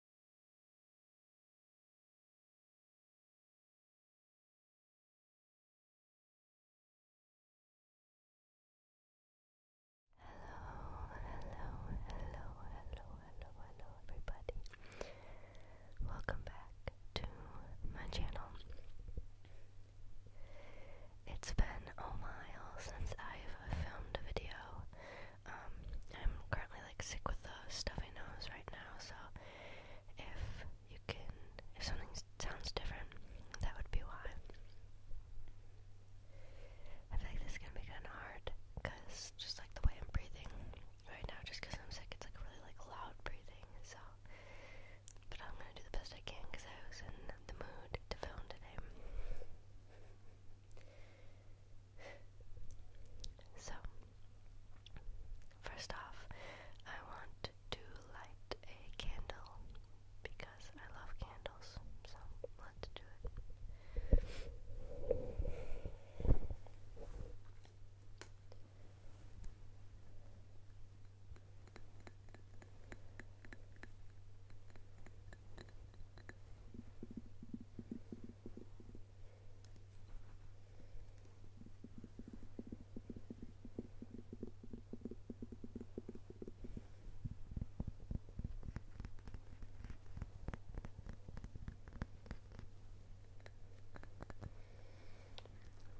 Hello, hello, hello, hello, hello, hello, everybody. Welcome back to my channel. It's been a while since I've filmed a video, um, I'm currently like sick with a stuffy nose right now, so if you can, if something sounds different, that would be why. I feel like this is gonna be kind of hard, cause just like the way I'm breathing right now, just cause I'm sick, it's like really like loud breathing. So, but I'm gonna do the best I can, cause I was in the mood to film today. So, first off, I want to light a candle because I love candles, so let's do it.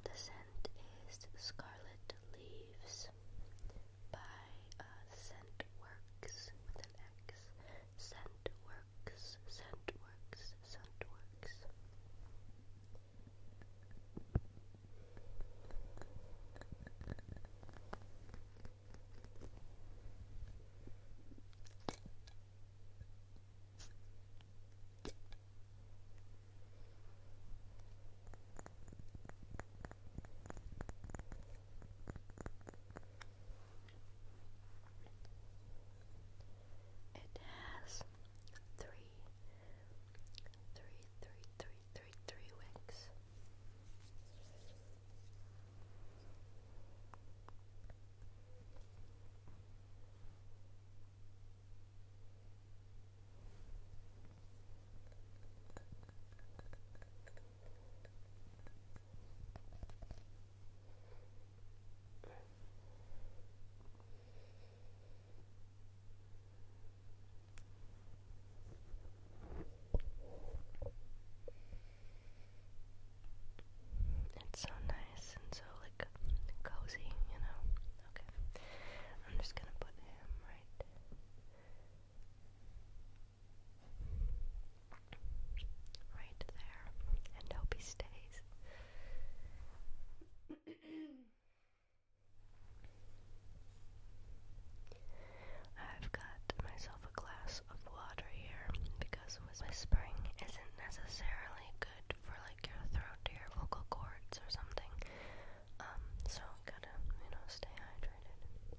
The scent is scarlet leaves by uh, Scentworks with an X. Scentworks, Scentworks, Scentworks. It has three, three, three, three, three, three wicks. It's so nice and so like cozy, you know. Okay. I'm just gonna put him right right there and hope stays. I've got myself a glass of water here because whispering isn't necessarily good for like your throat or your vocal cords or something. Um, so gotta, you know, stay hydrated.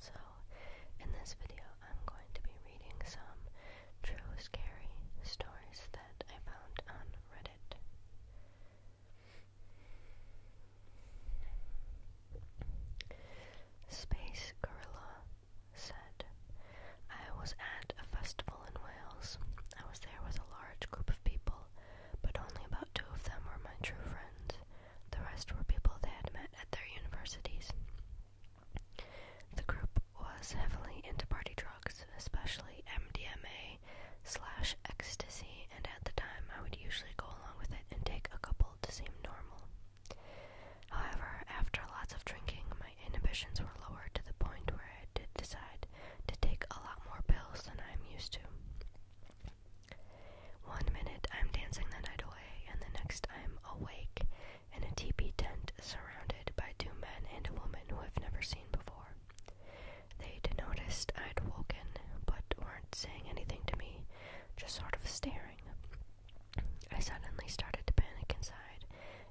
So, in this video, I'm going to be reading some true scary stories that I found on Reddit. Space Gorilla said, I was at a festival in Wales. I was there with a large group of people, but only about two of them were my true friends. The rest were people they had met at their universities. The group was heavily into party drugs, especially MDMA slash ecstasy, and at the time I would usually go along with it and take a couple to seem normal. However, after lots of drinking, my inhibitions were lowered to the point where I did decide to take a lot more pills than I am used to. One minute I'm dancing the night away, and the next I'm awake in a teepee tent surrounded by two men and a woman who I've never seen before. They'd noticed I'd woken, but weren't saying anything to me, just sort of staring. I suddenly started to panic inside,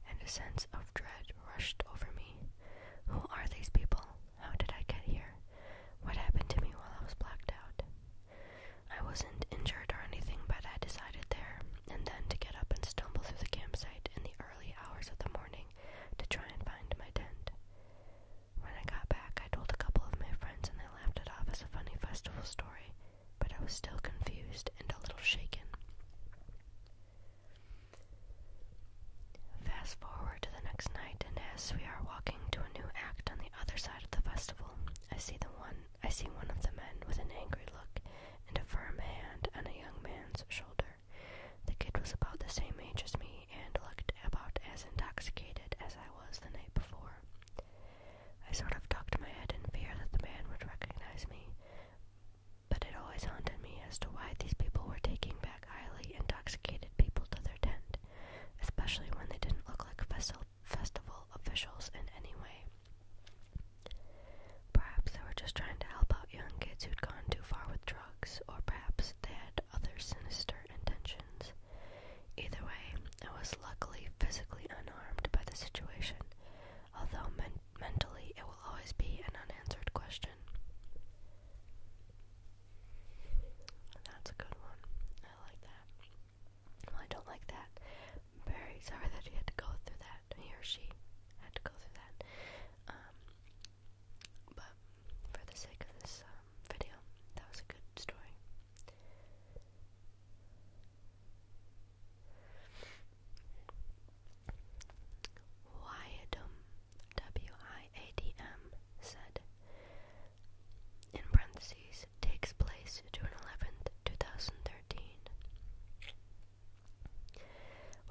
and a sense of dread rushed over me. Who are these people? How did I get here? What happened to me while I was blacked out? I wasn't injured or anything, but I decided there and then to get up and stumble through the campsite in the early hours of the morning to try and find my tent. When I got back, I told a couple of my friends and they laughed it off as a funny festival story, but I was still confused and a little shaken. Fast forward to the next night, and as we are walking to a new act on the other side of the festival, I see the one I see one of the men with an angry look and a firm hand on a young man's shoulder. The kid was about the same age as me and looked about as intoxicated as I was the night before. I sort of tucked my head in fear that the man would recognize me, but it always haunted me as to why these people were taking back highly intoxicated people to their tent especially when they didn't look like festival officials in any way. Perhaps they were just trying to help out young kids who'd gone too far with drugs, or perhaps they had other sinister intentions. Either way, I was luckily physically unharmed by the situation, although mentally it will always be an unanswered question. That's a good one. I like that. Well, I don't like that. I'm very sorry that he had to go through that. He or she had to go through that. Um, but for the sake of this um, video, that was a good story. Wyadum, W I A D M, said, in parentheses takes place June 11th, 2013.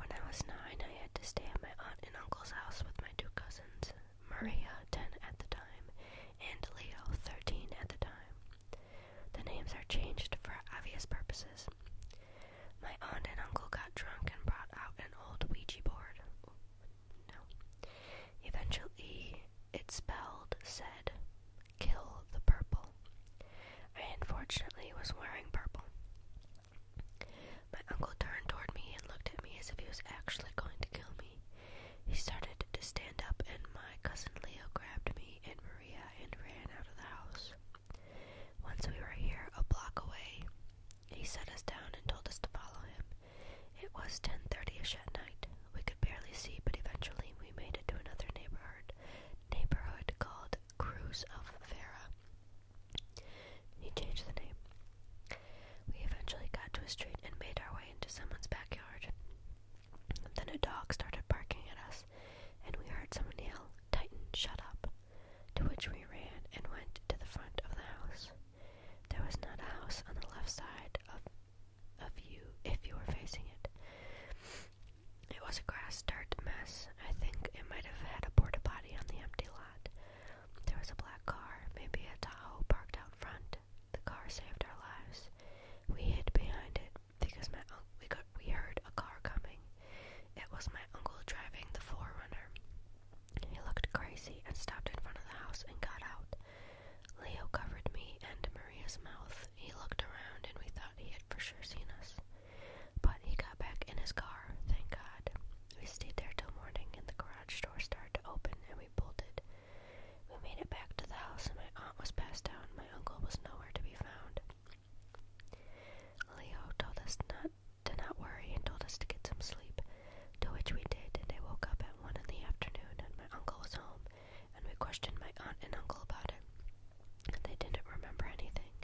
When I was nine, I had to stay at my aunt and uncle's house with my two cousins, Maria, 10 at the time, and Leo, 13 at the time. The names are changed for obvious purposes. My aunt and uncle got drunk and brought out an old Ouija board. No. Eventually, it spelled, said, kill the purple. I unfortunately was wearing purple. My uncle turned toward me and looked at me as if he was actually going to kill me. He started to stand up, and my cousin Leo grabbed me and Maria and ran out of the house. Once we were here, a block away, he set us down and told us to follow him. It was 10:30ish at night. We could barely see, but eventually we made it to another neighborhood, neighborhood called Cruz of Vera. He changed the name. We eventually got to a street and made our way into someone's backyard. Then a dog started barking at us, and we heard someone yell, "Titan, shut up!" to which we ran and went to the front of the house. There was not a house on the left side of of you if you were facing it. It was a grass dirt mess. I think it might have had a porta body on the empty lot. There was a black car, maybe a Tahoe, parked out front. The car saved our lives. We hid behind it because my uncle. we got we heard a car coming. It was my uncle driving the forerunner. He looked crazy and stopped in front of the house and got out. Leo covered me and Maria's mouth. He looked around and we thought he had for sure seen us. But he got back in his car, thank God. We stayed there till morning and the garage door started to open and we bolted. We made it back to the house and my aunt was passed out and my uncle was nowhere to be found. Leo told us not not to not worry and told us to get some sleep, to which we did, and I woke up at one in the afternoon and my uncle was home, and we questioned my aunt and uncle about it. And they didn't remember anything.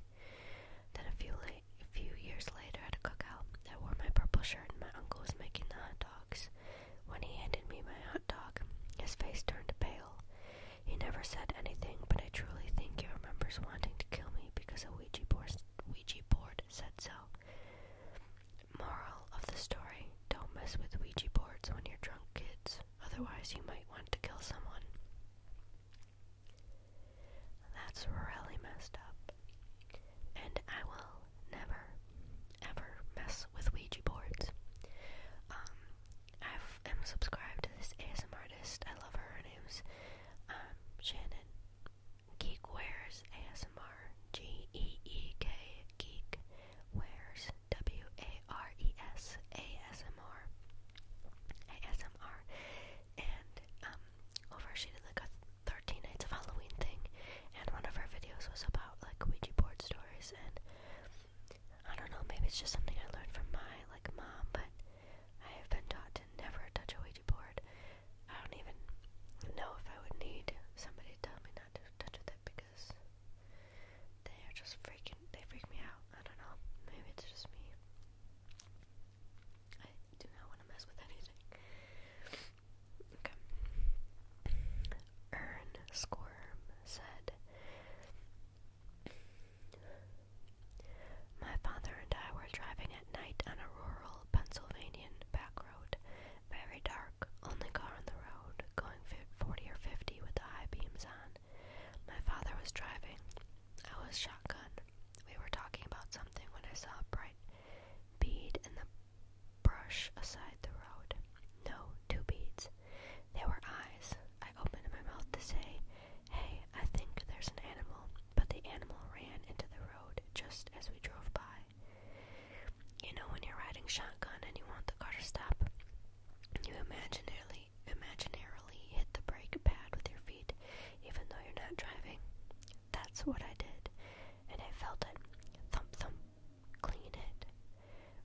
Then a few late a few years later at a cookout, I wore my purple shirt and my uncle was making the hot dogs. When he handed me my hot dog, his face turned pale. He never said anything, but I truly think he remembers wanting to kill me because a Ouija board Ouija board said so. Moral of the story don't mess with Ouija boards when you're drunk, kids. Otherwise, you might want to kill someone. That's really messed up. And I will never, ever mess with Ouija boards. Um, I am subscribed to this ASMR artist. I love her. Her name's um, Shannon. Geekwares ASMR G E E K Geekwares Wares ASMR ASMR and um over she did like a 13 nights of Halloween thing and one of her videos was about like Ouija board stories and I don't know maybe it's just something I learned from my like mom but I have been taught to never touch a Ouija board. I don't even know if I would need somebody to tell me not to touch with it because they are just freaking, they freak me out. I don't know. Maybe it's just me. I do not want to mess with anything. Okay. Ern Squirm said, my father and I were driving at night on a rural Pennsylvanian back road, very dark, only car on the road, going 40 or 50 with the high beams on. My father was driving. I was shotgun. We were talking about something when I saw a bright bead in the brush aside the road. No, two beads. They were eyes. I opened my mouth to say, Hey, I think there's an animal, but the animal ran into the road just as we drove by. You know, when you're riding shotgun and you want the car to stop, you imaginarily, imaginarily hit the brake pad with your feet, even though you're not driving. That's what I did, and I felt it thump thump clean hit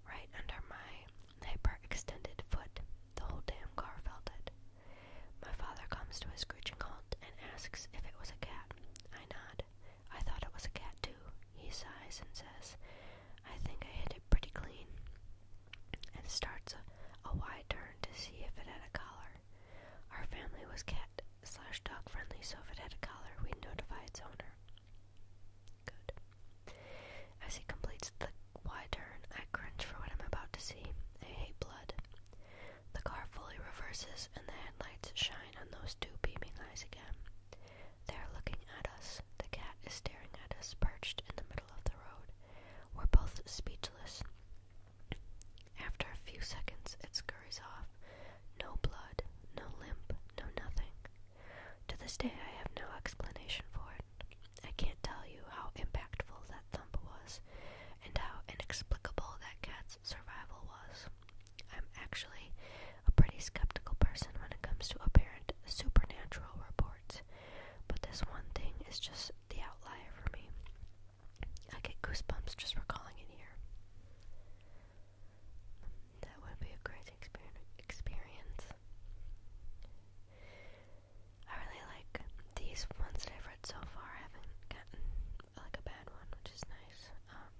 right under my hyperextended foot. The whole damn car felt it. My father comes to a screeching halt and asks if it was a cat. I nod. I thought it was a cat too. He sighs and says, I think I hit it pretty clean, and starts a, wide turn to see if it had a collar. Our family was cat slash dog friendly, so if it had a collar, we notify its owner. Good. As he completes the wide turn, I cringe for what I'm about to see. I hate blood. The car fully reverses, and the headlights shine on those two beaming eyes again. They are looking at us. The cat is staring at us, perched in the middle of the road. We're both speechless. After a few seconds, it scurries off. No blood, no limp, no nothing. To this day, I have no explanation for it. I can't tell you how impactful that thump was, and how inexplicable that cat's survival was. I'm actually a pretty skeptical person when it comes to apparent supernatural reports, but this one thing is just the outlier for me. I get goosebumps just recalling it here. That would be a great exper experience. I really like these ones that I've read so far. I haven't gotten like a bad one, which is nice. Um,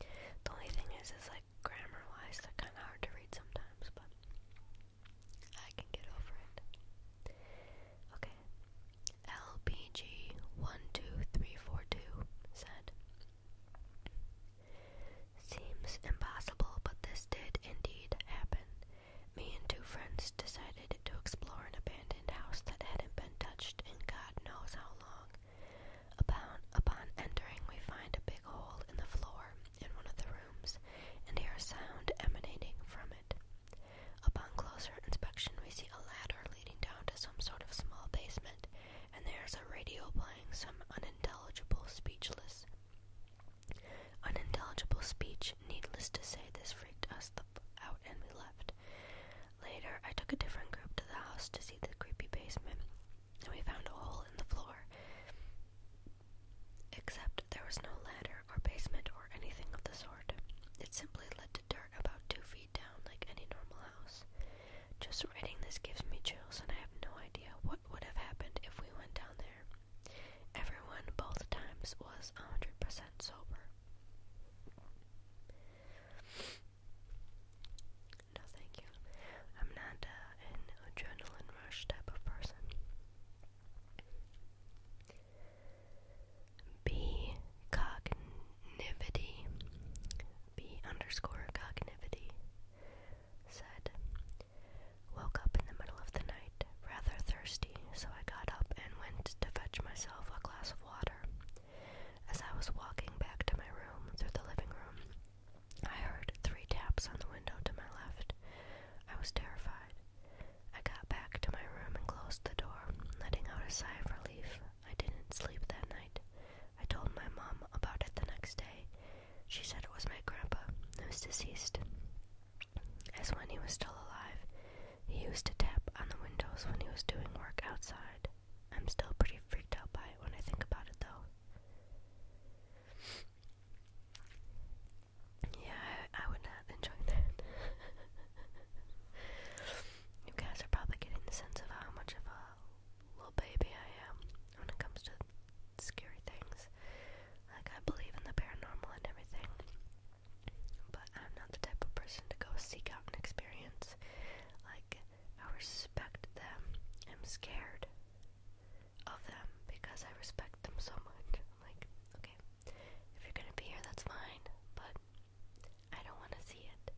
the only thing is, is like grammar-wise, they're kind of hard to read sometimes, but I can get over it. Okay, LPG one two three four two said. Seems impossible, but this did indeed happen. Me and two friends decided to explore an abandoned house that hadn't been touched in God knows how long. Upon, upon entering, we find a big hole in the floor in one of the rooms and hear a sound emanating from it. Upon closer inspection, we see a ladder leading down to some sort of small basement, and there's a radio playing some unintelligible, speechless Unintelligible speech, needless to say, this freaked us out and we left. Later, I took a different group to the house to see the creepy basement, and we found a hole in the floor. Except there was no ladder or basement or anything of the sort. It simply led to dirt about two feet down, like any normal house. Just writing this gives me chills, and I have no idea what would have happened if we went down there. Everyone both times was a hundred percent sober. No, thank you. I'm not uh, an adrenaline rush type of person. B cognivity. B underscore cognivity said Woke up in the middle of the night, rather thirsty, so I got up and went to fetch myself a glass of water. As I was walking back to my room through the living room, I heard three taps on the window to my left. I was terrified. I got back to my room and closed the door, letting out a sigh of relief. I didn't sleep that night. I told my mom about it the next day, she said it was my grandpa, was deceased. As when he was still alive, he used to tap on the windows when he was doing work outside. I'm still pretty freaked out by it when I think about it, though. Yeah, I would not enjoy that. you guys are probably getting the sense of how much of a little baby I am when it comes to scary things. Like, I believe in the paranormal and everything, but I'm not the type of person to go seek out an experience. Like, I respect them. I'm scared of them because I respect them so much. like, okay, if you're gonna be here, that's fine, but I don't want to see it.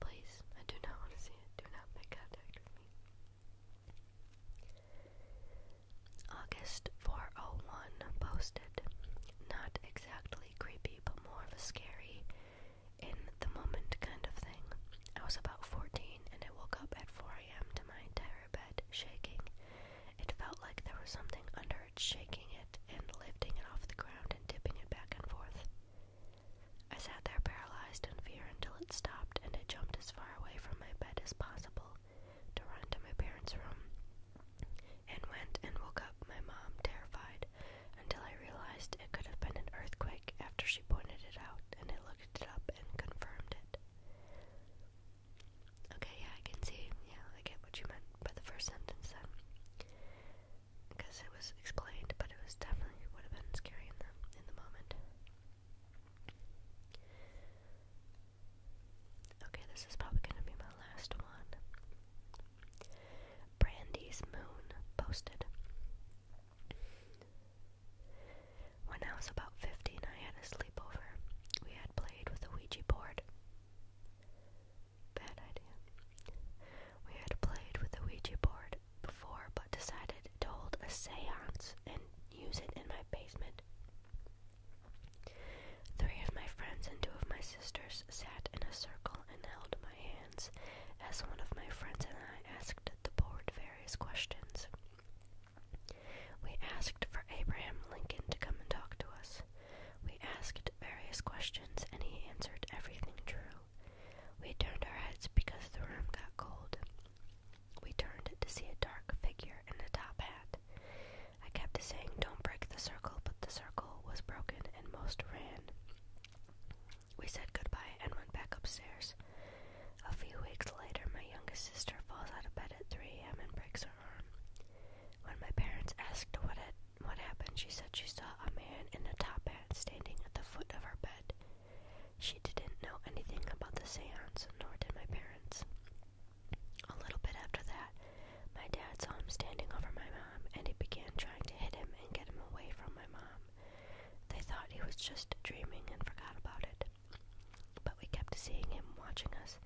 Please, I do not want to see it. Do not make contact with me. August 401 posted. Not exactly creepy, but more of a scary, in the moment kind of thing. I was about 14 and I woke up at 4 a.m. to my entire bed shaking. It felt like there was something under it shaking it and lifting it off the ground and tipping it back and forth. I sat there paralyzed in fear until it stopped, and I jumped as far away from my bed as possible to run to my parents' room. And went and woke up my mom terrified until I realized it could have been an earthquake after she pointed it out and it looked it up and confirmed it. Okay, yeah, I can see. Yeah, I get what you meant by the first sentence then because it was explained, but it was definitely would have been scary in the in the moment. Okay, this is probably gonna be my last one. Brandy's Moon posted. When I was about 15, I had a sleepover. We had played with a Ouija board. Bad idea. We had played with a Ouija board before but decided to hold a seance and use it in my basement. Three of my friends and two of my sisters sat in a circle and held my hands as one of my friends and I asked the board various questions. We asked for Abraham Lincoln to come and talk to us. We asked various questions and he answered everything true. We turned our heads because the room got cold. We turned to see a dark figure in a top hat. I kept saying, Don't break the circle, but the circle was broken and most ran. We said goodbye and went back upstairs. A few weeks later, my youngest sister falls out of bed at 3 a.m. and breaks her arm. When my parents asked what it what happened, she said she saw a man in a top hat standing at the foot of her bed. She didn't know anything about the seance, nor did my parents. A little bit after that, my dad saw him standing over my mom, and he began trying to hit him and get him away from my mom. They thought he was just dreaming and forgot about it. But we kept seeing him watching us,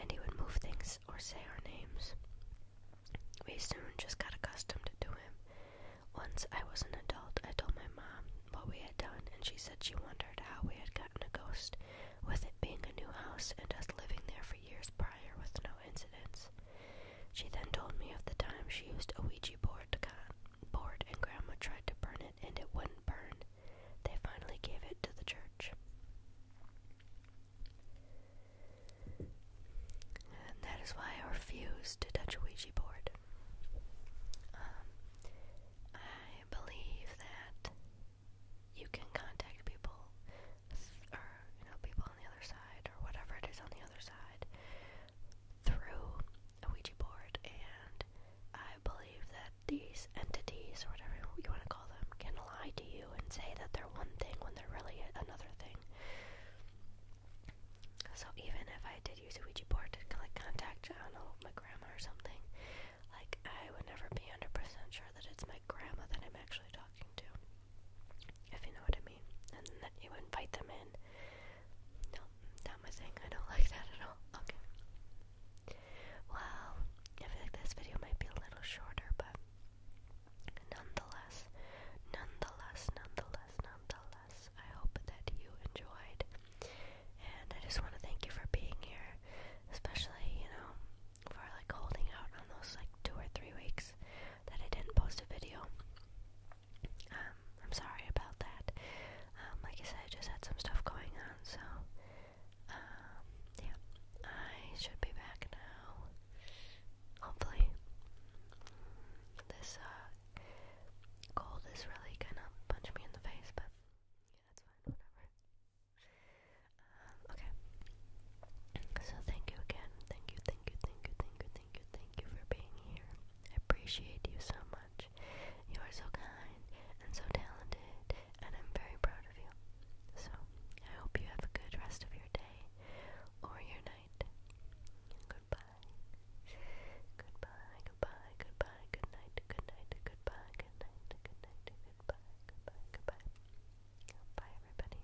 and he would move things or say our names. We soon just got accustomed to him. Once I was an adult, I told my mom what we had done, and she said she wondered how we had gotten a ghost, with it being a new house and us living there for years prior with no incidents. She then told me of the time she used a Ouija board to con- board, and Grandma tried to burn it, and it wouldn't burn. They finally gave it to the church that is why I refuse to touch a Ouija board. Um, I believe that you can contact people, or you know, people on the other side, or whatever it is on the other side, through a Ouija board. And I believe that these entities, or whatever you want to call them, can lie to you and say that they're one thing when they're really another thing. So even if I did use a Ouija board to like contact, I don't know, my grandma or something, like I would never be 100% sure that it's my grandma that I'm actually talking to. If you know what I mean. And that you invite them in. No, not my thing. I don't like that at all. Okay. Well, I feel like this video might be a little shorter, but Nonetheless, nonetheless, nonetheless, nonetheless, I hope that you enjoyed. And I just want to thank you for being here, especially, you know, for like holding out on those like two or three weeks that I didn't post a video. Um, I'm sorry about that. Um, like I said, I just had some stuff going on, so, um, yeah. I should be back now. Hopefully, this uh, cold is really gonna punch me in the face, but yeah, it's fine, whatever. Um, okay. So thank you again. Thank you, thank you, thank you, thank you, thank you, thank you for being here. I appreciate you so much. You are so kind and so talented, and I'm very proud of you. So I hope you have a good rest of your day or your night. Goodbye. Goodbye, goodbye, goodbye, good night, good night, goodbye, good night, good night, goodbye, goodbye, goodbye. Bye everybody.